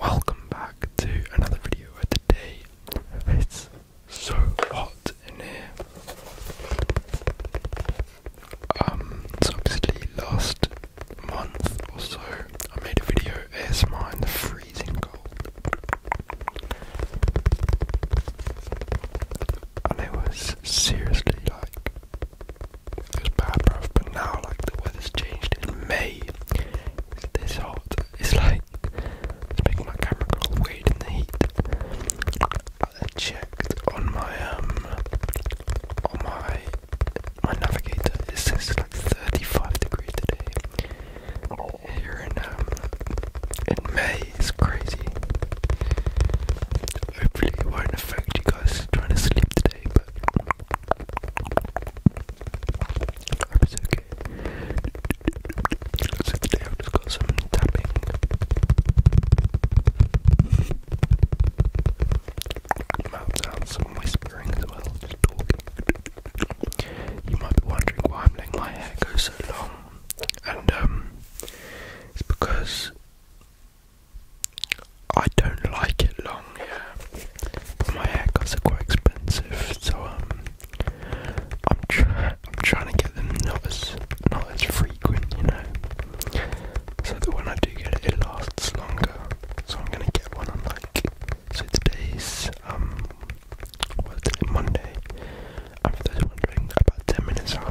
Welcome back to another video of the It's so hot in here. Um, so obviously last month or so I made a video as mine, the freezing cold. And it was seriously like it was bad, bruv. But now, like, the weather's changed in May. It's this hot. It's like, it's making my camera go weird in the heat. I checked on my, um, on my, my navigator. It says it's like 35 degrees today. Here in, um, in May. It's crazy. Hopefully it won't affect you guys trying to sleep today, but Mouth sounds, some whispering as well, just talking. You might be wondering why I'm letting my hair go so long. And um it's because I don't like it long, yeah. But my haircuts are quite expensive, so um, I'm trying, I'm trying to get them not as not as frequent, you know, so that when I do get it, it lasts longer. So I'm gonna get one on like so today's um, what's it, Monday. And for those wondering, about ten minutes ago,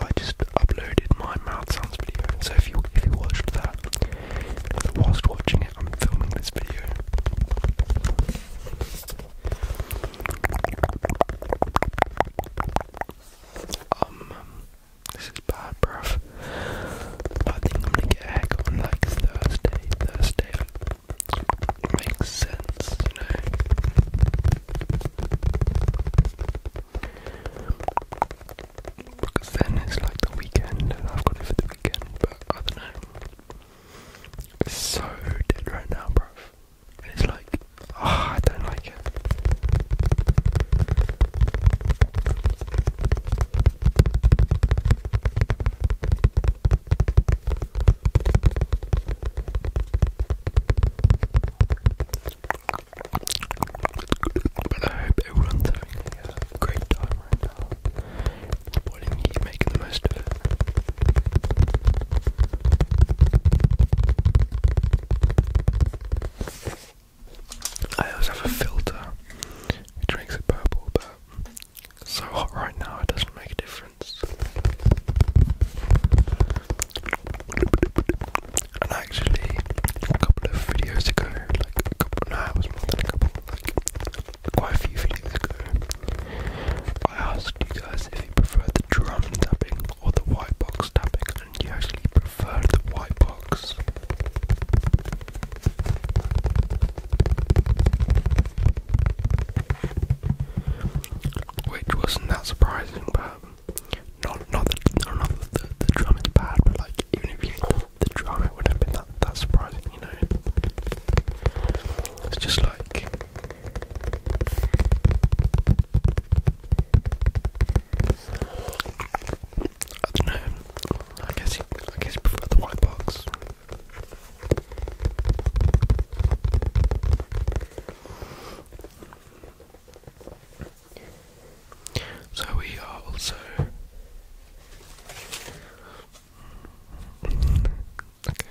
I just uploaded my mouth sounds video. So if you if you watched that, whilst watching it. I'm filming this video. Um, this is bad, bruv. I think I'm gonna get a on like Thursday. Thursday makes sense, you know because then it's like the weekend and I've got it for the weekend, but I don't know. It's so dead right now, bruv. it's like, ah, I don't like it. But I hope everyone's having a great time right now now. It's making the most of it. I always have a filter which makes it purple, but so hot right now it doesn't make a difference. And actually, a couple of videos ago, quite a few videos ago. I asked you guys if you preferred the drum tapping or the white box tapping, and you actually preferred the white box. Which wasn't that surprising, but not not that, not that the, the drum is bad, but like even if you the drama wouldn't have been that, that surprising, you know. It's just like I don't know. I guess you, I guess you prefer the white box. So we are also. Okay.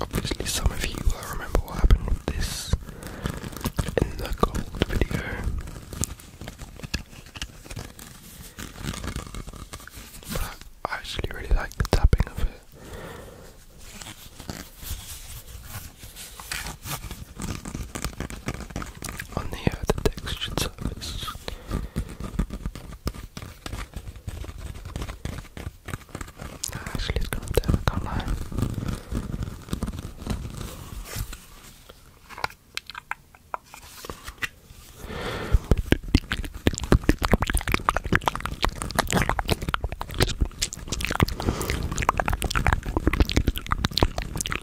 Obviously, some of you will remember what happened with this in the cold video. But I actually really like the tapping of it on the, uh, textured surface. actually, it's has gone up there,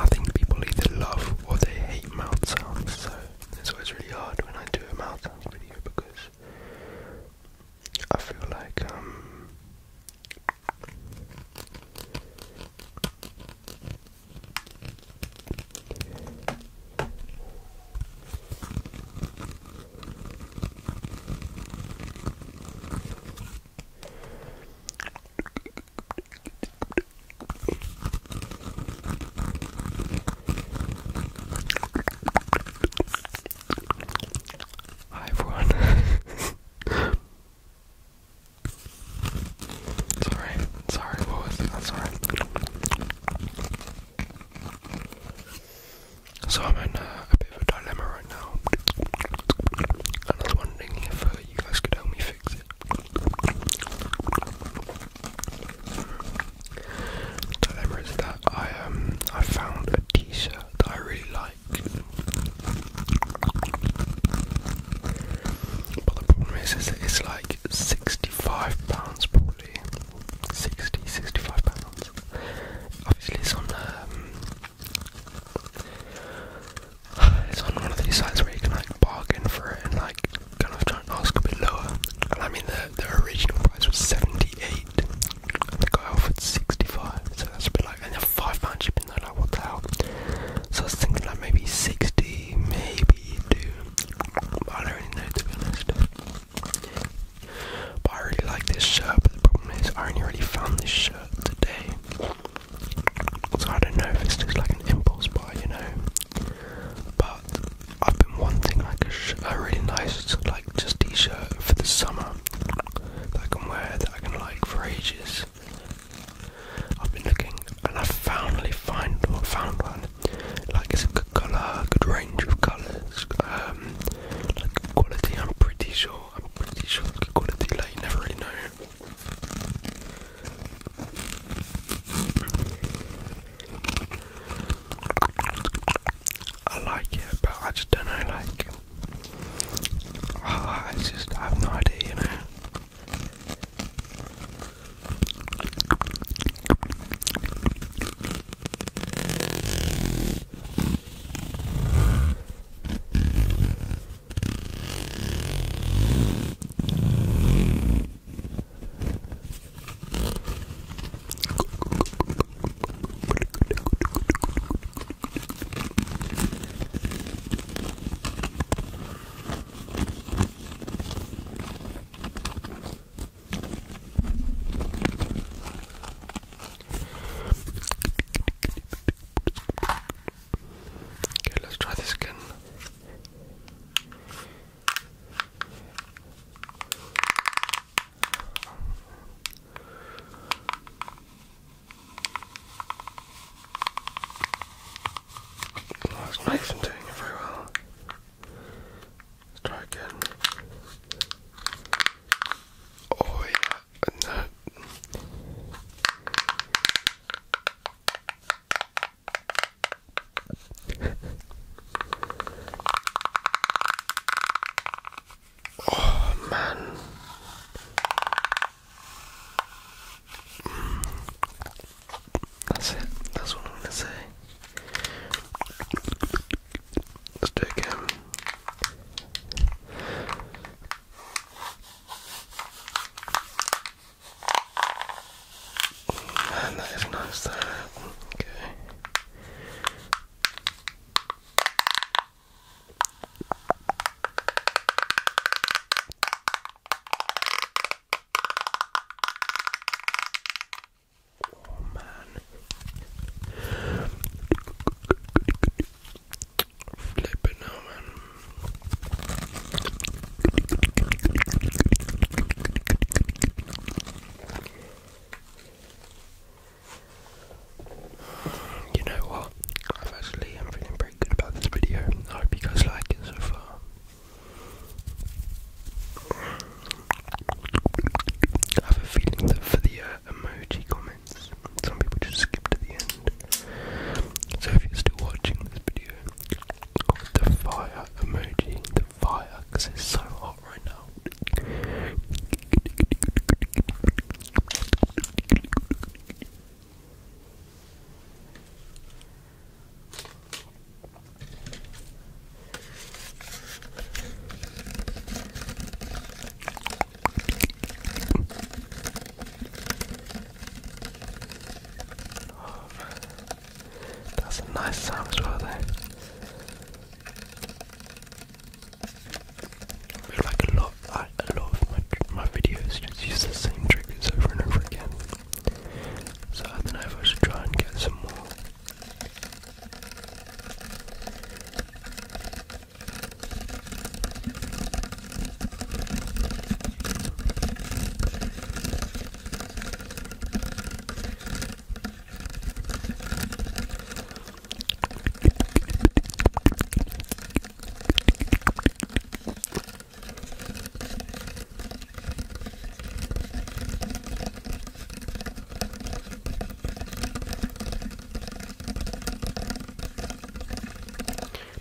I think people either love or they hate mouth sounds, so it's always really hard when I do a mouth sounds video because I feel like um, Hi everyone. it's Sorry, what was it? That's So I'm in uh, a bit of a dilemma right now, and I was wondering if uh, you guys could help me fix it. The dilemma is that I um I found a t-shirt that I really like. But the problem is, is that it's like £65 probably. 60 65 pounds. Obviously it's on um, it's on one of these sites where you can like bargain for it and like kind of try and ask a bit lower. And I mean the the original price was 78 I think offered 65, so that's a bit like, and a five pound shipping though, like what the hell? So I was thinking like maybe 60, maybe do, I don't really know to be honest. But I really like this shirt, but the problem is I only really found this shirt today. So I don't know if it's just like an impulse buy, you know. But I've been wanting like a, a really nice like just t-shirt for the summer that I can wear that I can like for ages. I've been looking and I finally found one. Like a good colour, good range of colours, um, like quality. I'm pretty sure. I'm pretty sure good quality. Like you never really know. I like it, but I just don't know, like, oh, just, have no idea, you know. Okay, let's try this again. Last well, night doing very well. try again. Oh yeah, no. Oh man. Mm. That's it. That's what I'm gonna say. Let's Man, that is nice there. Okay. Oh man. Flipping now, man. You know what? i actually am feeling pretty good about this video. I hope you guys like it so far. I have a feeling that for the uh, emoji comments, some people just skip to the end. So if you're still watching this video, the fire emoji, the fire, because it's so hot that's a nice sound as well, though. But like a lot, I, a lot of my my videos just use the same triggers over and over again. So I don't know if I try and get some more.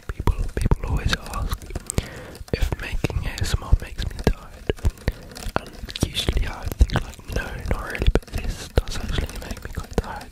People, people always ask if making ASMR makes me tired, and usually I think like, no, not really, this does actually make me quite tired.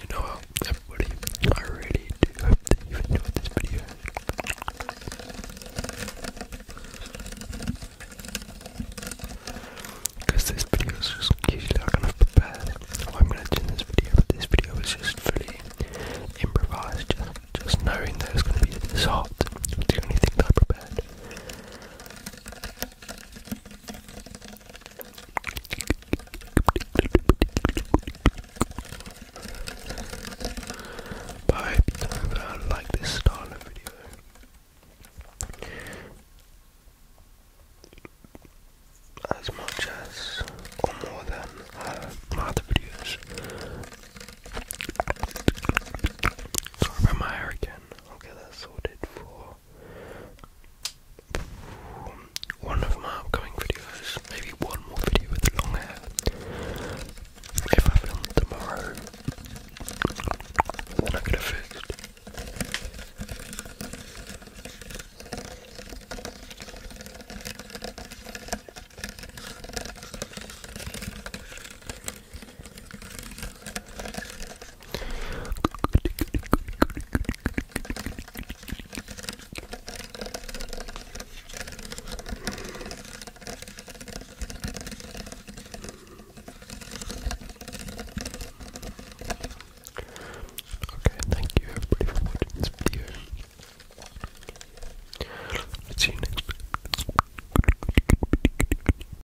You know what, I really do hope that you enjoyed this video. Because this video is just usually I kind of prepared. Why I'm going to do this video, but this video is just fully improvised. Just, just knowing that it's going to be this hot the only thing I prepared. But I hope I like this style of video as much as or more than uh, my other videos. Sorry about my hair again. I'll get that sorted for one of my upcoming videos, maybe one more video with the long hair. If I film tomorrow, then I could have Okay, thank you everybody for watching this video. I'll see you next time.